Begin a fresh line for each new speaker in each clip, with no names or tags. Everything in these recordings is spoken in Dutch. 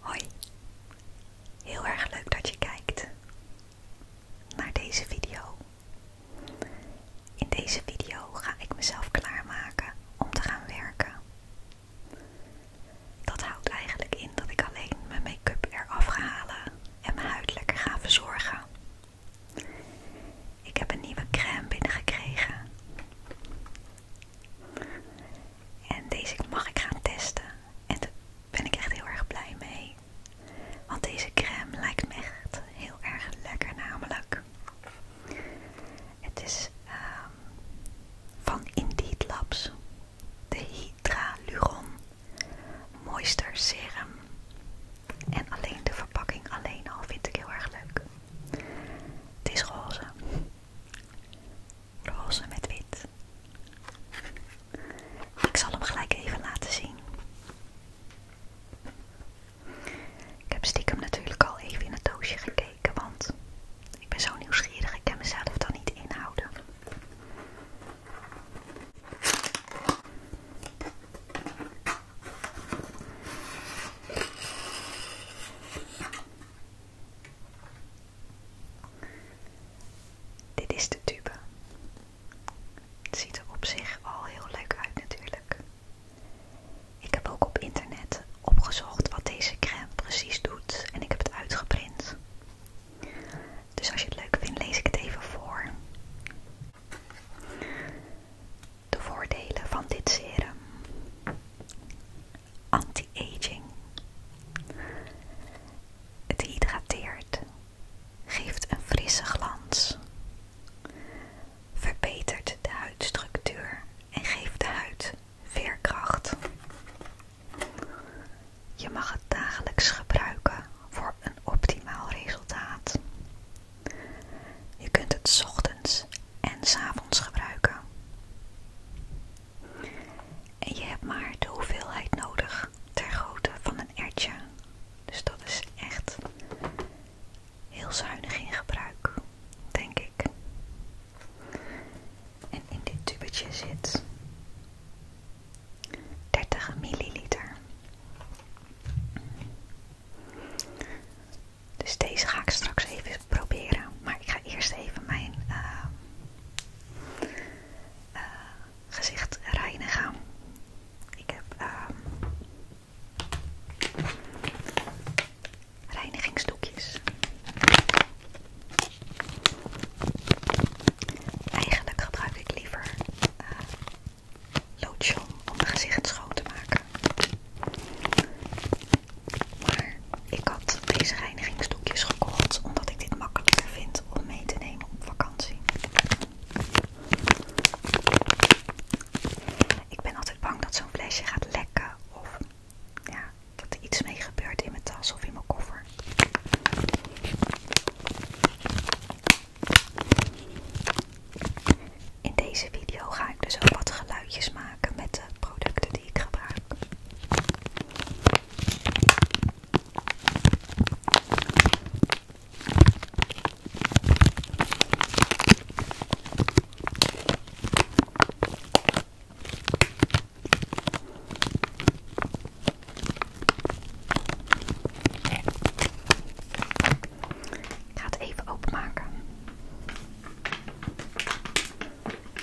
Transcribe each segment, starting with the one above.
Hoi, heel erg leuk dat je kijkt naar deze video. In deze video ga ik mezelf klaarmaken om te gaan werken. Dat houdt eigenlijk in dat ik alleen mijn make-up eraf ga en mijn huid lekker ga verzorgen. Ik heb een nieuwe crème binnengekregen. En deze mag ik gaan testen. En daar ben ik echt heel erg blij mee. Want deze crème lijkt me echt heel erg lekker namelijk. Het is ehm, van Indeed Labs. De Hydraluron Moisture Serum. En alleen de verpakking alleen al vind ik heel erg leuk. Het is roze roze met wit. Ik zal hem gelijk even laten zien. Ik heb stiekem natuurlijk al even in het doosje gekeken, want ik ben zo nieuwsgierig, ik kan mezelf dan niet inhouden. Dit is de tube. Het ziet er op zich al heel leuk uit natuurlijk. Ik heb ook op internet opgezocht wat deze crème precies doet en ik heb het uitgeprint. Dus als je het leuk vindt, lees ik het even voor. De voordelen van dit serum anti-aging. Het hydrateert, geeft een frisse glans, verbetert de huidstructuur en geeft de huid veerkracht. Je mag het dagelijks gebruiken voor een optimaal resultaat. Je kunt het ochtends en s'avonds gebruiken. En je hebt maar de hoeveelheid nodig ter grootte van een ertje. Dus dat is echt heel zuinig in gebruik, denk ik. En in dit tubetje zit 30 milliliter. Dus deze ga ik straks even proberen maar ik ga eerst even mijn ehm, eh, gezicht reinigen. Ik heb ehm, reinigingsdoekjes. Eigenlijk gebruik ik liever eh, lotion om mijn gezicht schoon te maken. Maar ik had deze reinigingsdoekjes gekocht omdat ik dit makkelijker vind om mee te nemen op vakantie. Ik ben altijd bang dat zo'n flesje gaat lekken of dat er iets mee gebeurt in mijn tas of in mijn koffer. In deze video ga ik dus ook wat geluidjes maken met de producten die ik gebruik. Ik ga het even openmaken.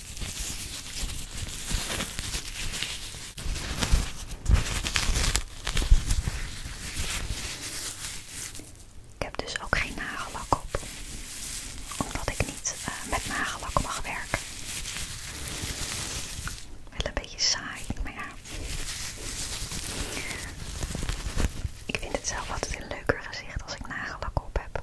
Ik heb dus ook geen nagellak op, omdat ik niet eh, met nagellak mag werken. Wel een beetje saai, maar ja. Ik vind het zelf altijd een leuker gezicht als ik nagellak op heb.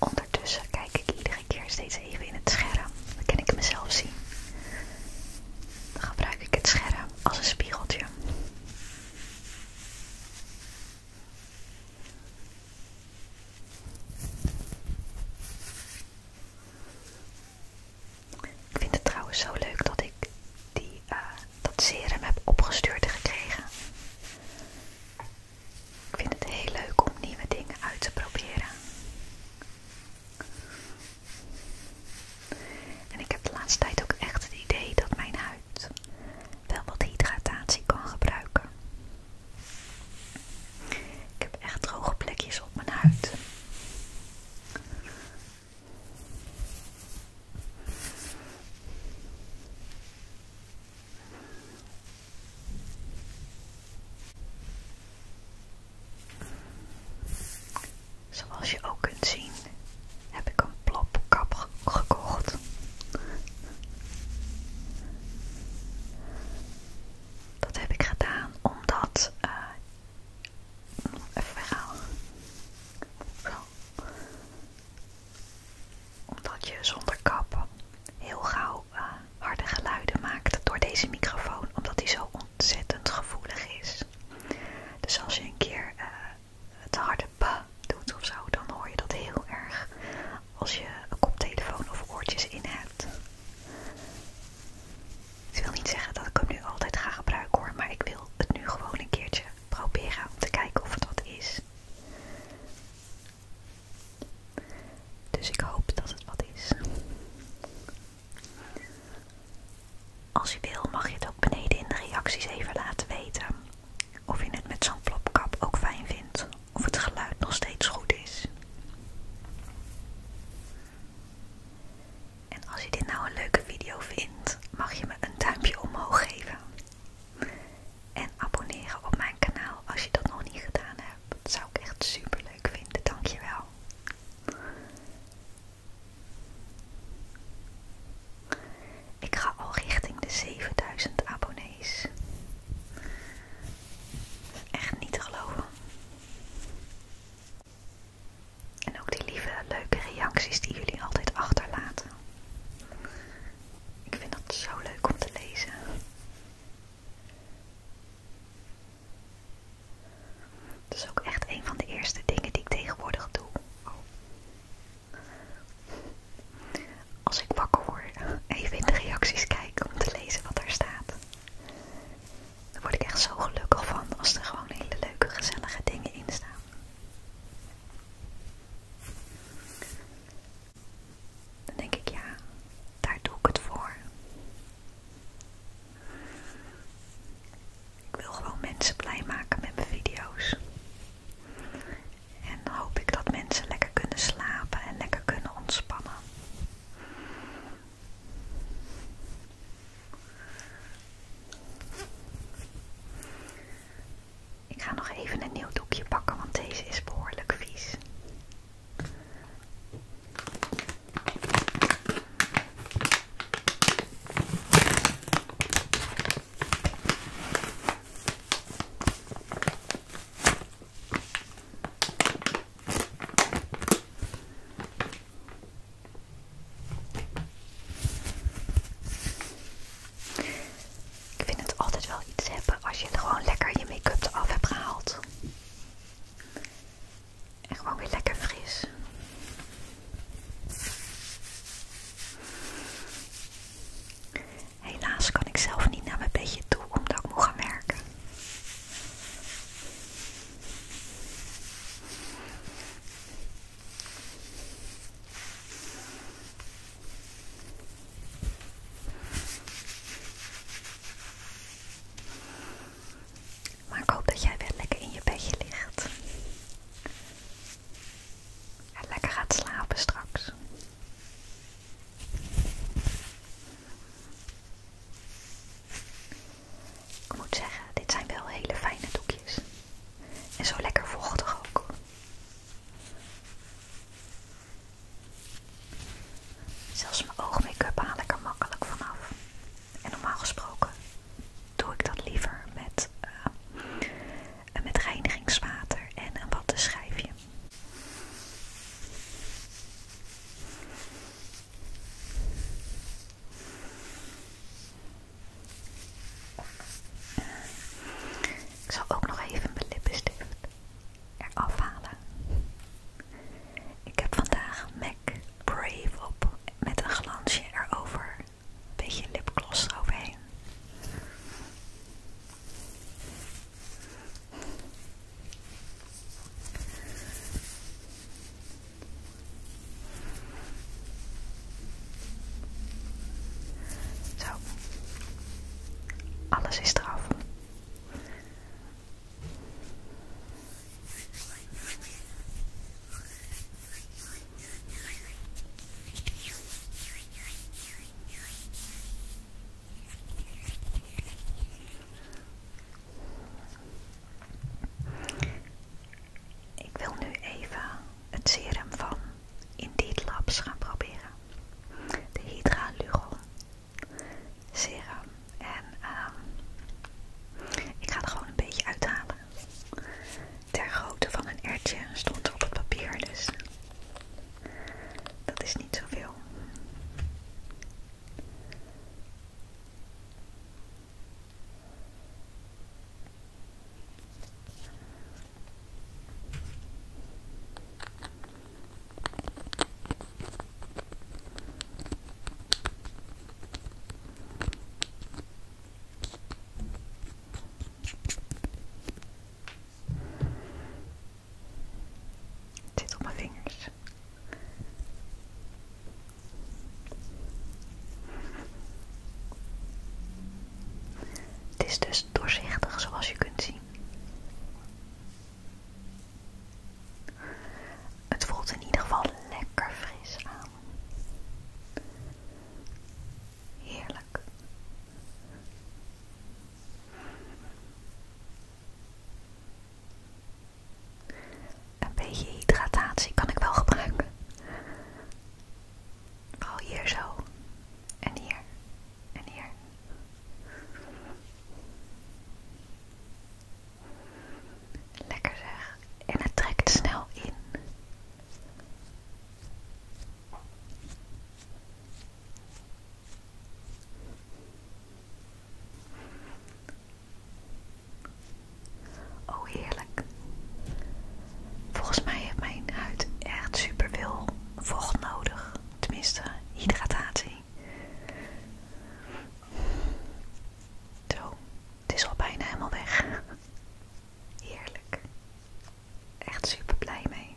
Ondertussen kijk ik iedere keer steeds even in het scherm. Dan kan ik mezelf zien. Dan gebruik ik het scherm als een spiegeltje. Ik vind het trouwens zo leuk dat ik die, eh, dat serum heb opgestuurd gekregen. Ik vind het heel leuk om nieuwe dingen uit te proberen. En ik heb de laatste tijd ook echt het idee dat mijn huid wel wat hydratatie kan gebruiken. Ik heb echt droge plekjes op mijn huid. Zoals je ook kunt zien, heb ik een plopkap gekocht. Dat heb ik gedaan omdat eh, Even weghalen. Omdat je zonder kap heel gauw eh, harde geluiden maakt door deze microfoon, omdat die zo ontzettend gevoelig is. Dus als je een keer eh, het harde pa doet of zo, dan hoor je dat heel erg als je een koptelefoon of oortjes in hebt. Ik wil niet zeggen dat ik hem nu altijd ga gebruiken hoor, maar ik wil het nu gewoon een keertje proberen om te kijken of het wat is. Dus ik hoop dat het wat is. Als je wil mag je het ook beneden in de reacties even laten weten. Of je het met zo'n plopkap ook fijn vindt. Of het geluid nog steeds goed is. En als je dit nou een leuke video vindt, mag je me een duimpje omhoog geven. En abonneren op mijn kanaal als je dat nog niet gedaan hebt. Dat zou ik echt super leuk vinden. Dankjewel. Ik ga al richting de 7000 abonnees. Echt niet te geloven. En ook die lieve, leuke reacties die jullie altijd achterlaten. Ik vind dat zo leuk om te lezen. Dat is ook echt een van de eerste dingen die ik tegenwoordig doe. Als ik wakker word, even in de reacties kijken om te lezen wat er staat. Daar word ik echt zo gelukkig van als er gewoon hele leuke, gezellige dingen in staan. Dan denk ik, ja, daar doe ik het voor. Ik wil gewoon mensen blij maken met mijn video's. En hoop ik dat mensen lekker kunnen slapen en lekker kunnen ontspannen. Ik ga nog even een nieuw doekje pakken, want deze is behoorlijk vies. Ik vind het altijd wel iets hebben als je gewoon lekker je make-up eraf hebt gehaald. En gewoon weer lekker fris. Helaas kan ik zelf niet naar mijn bedje toe omdat ik moet gaan werken. Maar ik hoop dat jij weer lekker in je bedje ligt. En lekker gaat slapen straks. Ik moet zeggen, dit zijn wel hele fijne doekjes. En zo lekker vochtig ook. Zelfs mijn oogmake-up haal ik er makkelijk vanaf. En normaal gesproken doe ik dat liever met, eh, met reinigingswater en een watten schijfje. Ik zal ook nog even mijn lippenstift eraf halen. Ik heb vandaag MAC Brave op met een glansje erover. Een beetje lipgloss eroverheen. Zo. Alles is eraf. Ik wil nu even het serum van Indeed Labs gaan proberen. De Lugon serum. En ehm, ik ga er gewoon een beetje uithalen. Ter grootte van een ertje stond er op het papier, dus dat is niet zoveel. Het zit op mijn vingers. Het is dus doorzichtig zoals je kunt zien. Het voelt in ieder geval lekker fris aan. Heerlijk. Een beetje hydratatie kan ik wel gebruiken. Al oh, hier zo. En hier. En hier. Lekker zeg. En het trekt snel in. Oh, heerlijk. Volgens mij heeft mijn huid echt super veel vocht nodig. Tenminste, hydratatie. Zo, het is al bijna helemaal weg. Heerlijk. Echt super blij mee.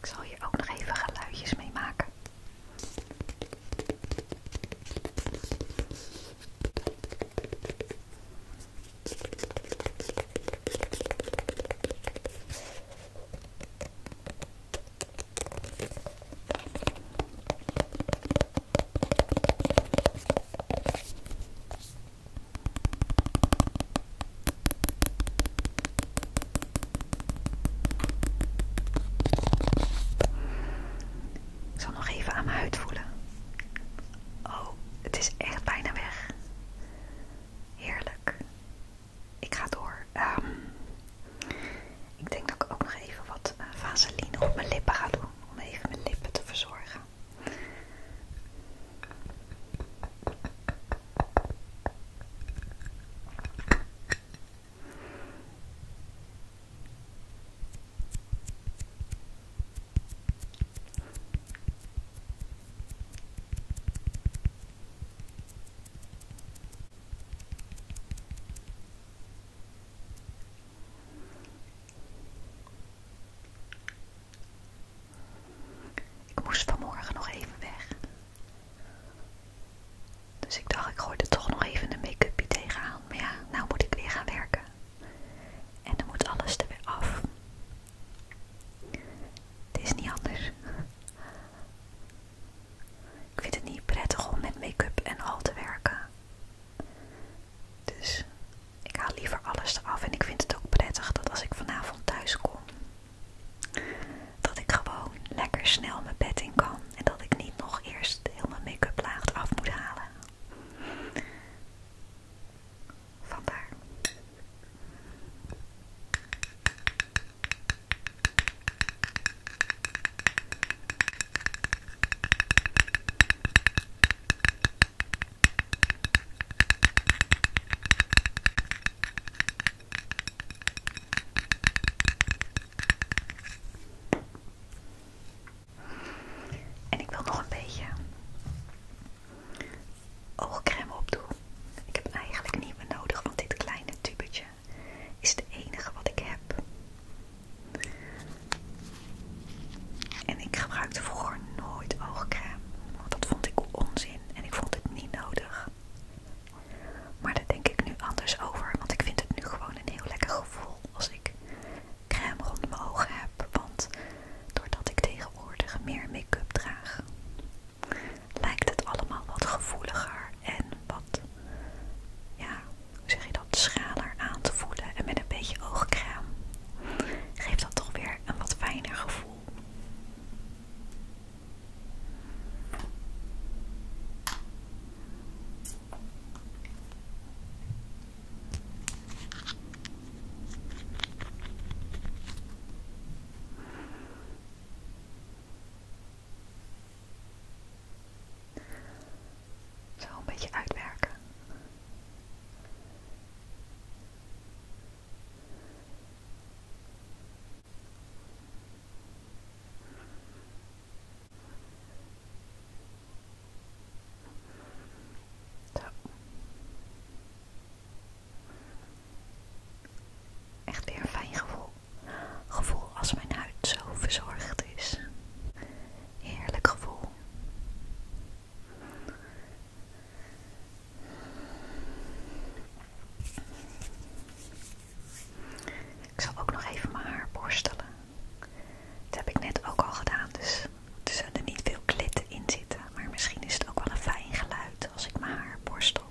Ik zal hier ook nog even geluidjes mee maken. Ik zal nog even aan mijn huid voelen. Oh, het is echt bijna weg. Heerlijk ik ga door. Ehm, ik denk dat ik ook nog even wat eh, vaseline op mijn lippen ga doen. Om even mijn lippen te verzorgen. Ik moest vanmorgen nog even weg. Dus ik dacht, ik gooi er toch nog even een make-upje tegenaan. Maar ja, nou moet ik weer gaan werken. En dan moet alles er weer af. Het is niet anders. Ik vind het niet prettig om met make-up en al te werken. Dus ik haal liever alles eraf en ik vind het ook prettig dat als ik vanavond thuis kom, dat ik gewoon lekker snel mijn bed in kan en dat ik niet nog eerst heel mijn make-up laag af moet halen. Vandaar. En ik wil nog een beetje oogcrème opdoen. Ik heb eigenlijk niet meer nodig, want dit kleine tubetje is het enige wat ik heb. En ik gebruikte vroeger nooit oogcrème, want dat vond ik onzin en ik vond het niet nodig. Maar dat denk ik nu anders over, want ik vind het nu gewoon een heel lekker gevoel als ik crème rond mijn ogen heb. Want doordat ik tegenwoordig meer make-up draag, lijkt het allemaal wat gevoeliger en wat ja, zeg je dat, schaler aan te voelen. En met een beetje oogkraam geeft dat toch weer een wat fijner gevoel. Zo een beetje uitwerken. Zo. Echt weer een fijn gevoel. Gevoel als mijn huid zo verzorgd is. Heerlijk gevoel. Ik zal ook nog even mijn haar borstelen. Dat heb ik net ook al gedaan, dus er zullen niet veel klitten in zitten. Maar misschien is het ook wel een fijn geluid als ik mijn haar borstel.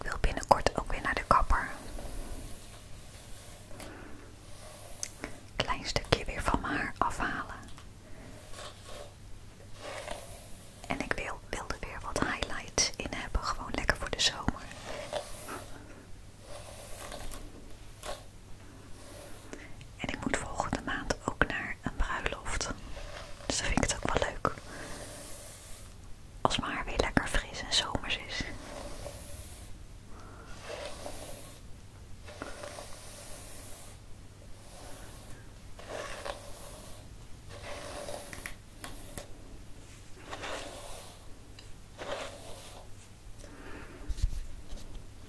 Ik wil binnenkort ook weer naar de kapper. Klein stukje weer van mijn haar afhalen. En ik wil, wilde weer wat highlights in hebben, gewoon lekker voor de zomer. En ik moet volgende maand ook naar een bruiloft. Dus dan vind ik het ook wel leuk. Als mijn haar weer lekker fris en zomers is.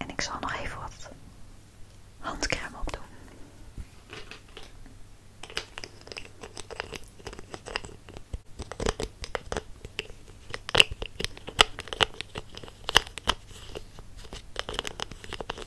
En ik zal nog even wat handcrème opdoen.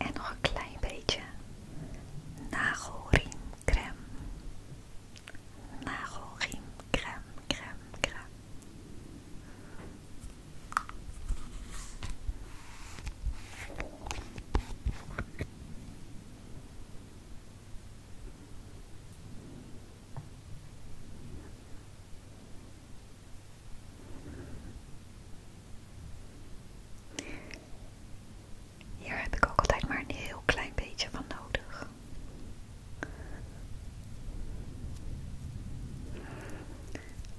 En nog een klein beetje nagelriem crème. Nagelriem, crème, crème, crème. Hier heb ik ook altijd maar een heel klein beetje van nodig.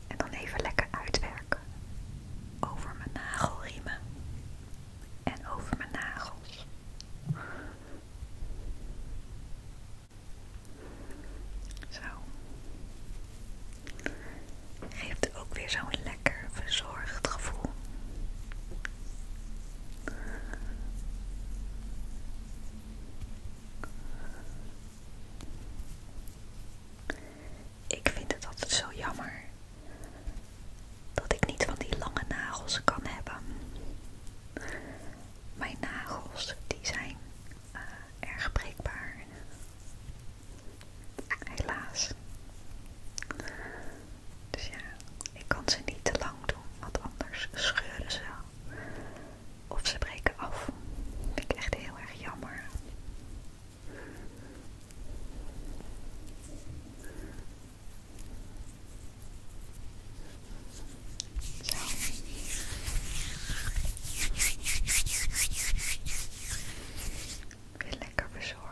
En dan even lekker uitwerken over mijn nagelriemen en over mijn nagels. Zo. Geeft ook weer zo'n lekker verzorgd gevoel. Ik vind het altijd zo jammer dat ik niet van die lange nagels kan hebben. Mijn nagels die zijn eh, erg breekbaar. Helaas. Dus ja, ik kan ze niet te lang doen, want anders scheuren ze of ze breken af. Dat vind ik echt heel erg jammer. Zo. ben lekker bezorgd.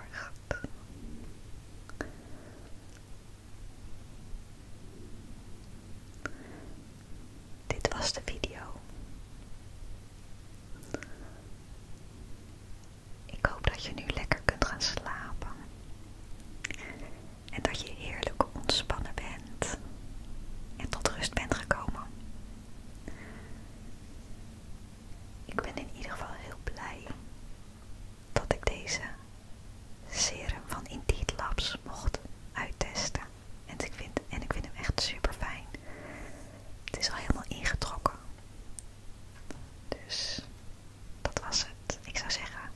Dit was de video. Ik hoop dat je nu lekker kunt gaan slapen. En dat je heerlijk ontspannen bent en tot rust bent gekomen. Ik ben in ieder geval heel blij dat ik deze serum van Indeed Labs mocht uittesten. En ik vind, en ik vind hem echt super fijn. Het is al helemaal ingetrokken. Dus dat was het. Ik zou zeggen,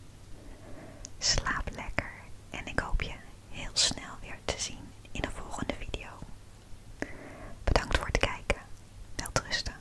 slaap lekker. En ik hoop je heel snel weer te zien in een volgende video. Bedankt voor het kijken. rusten.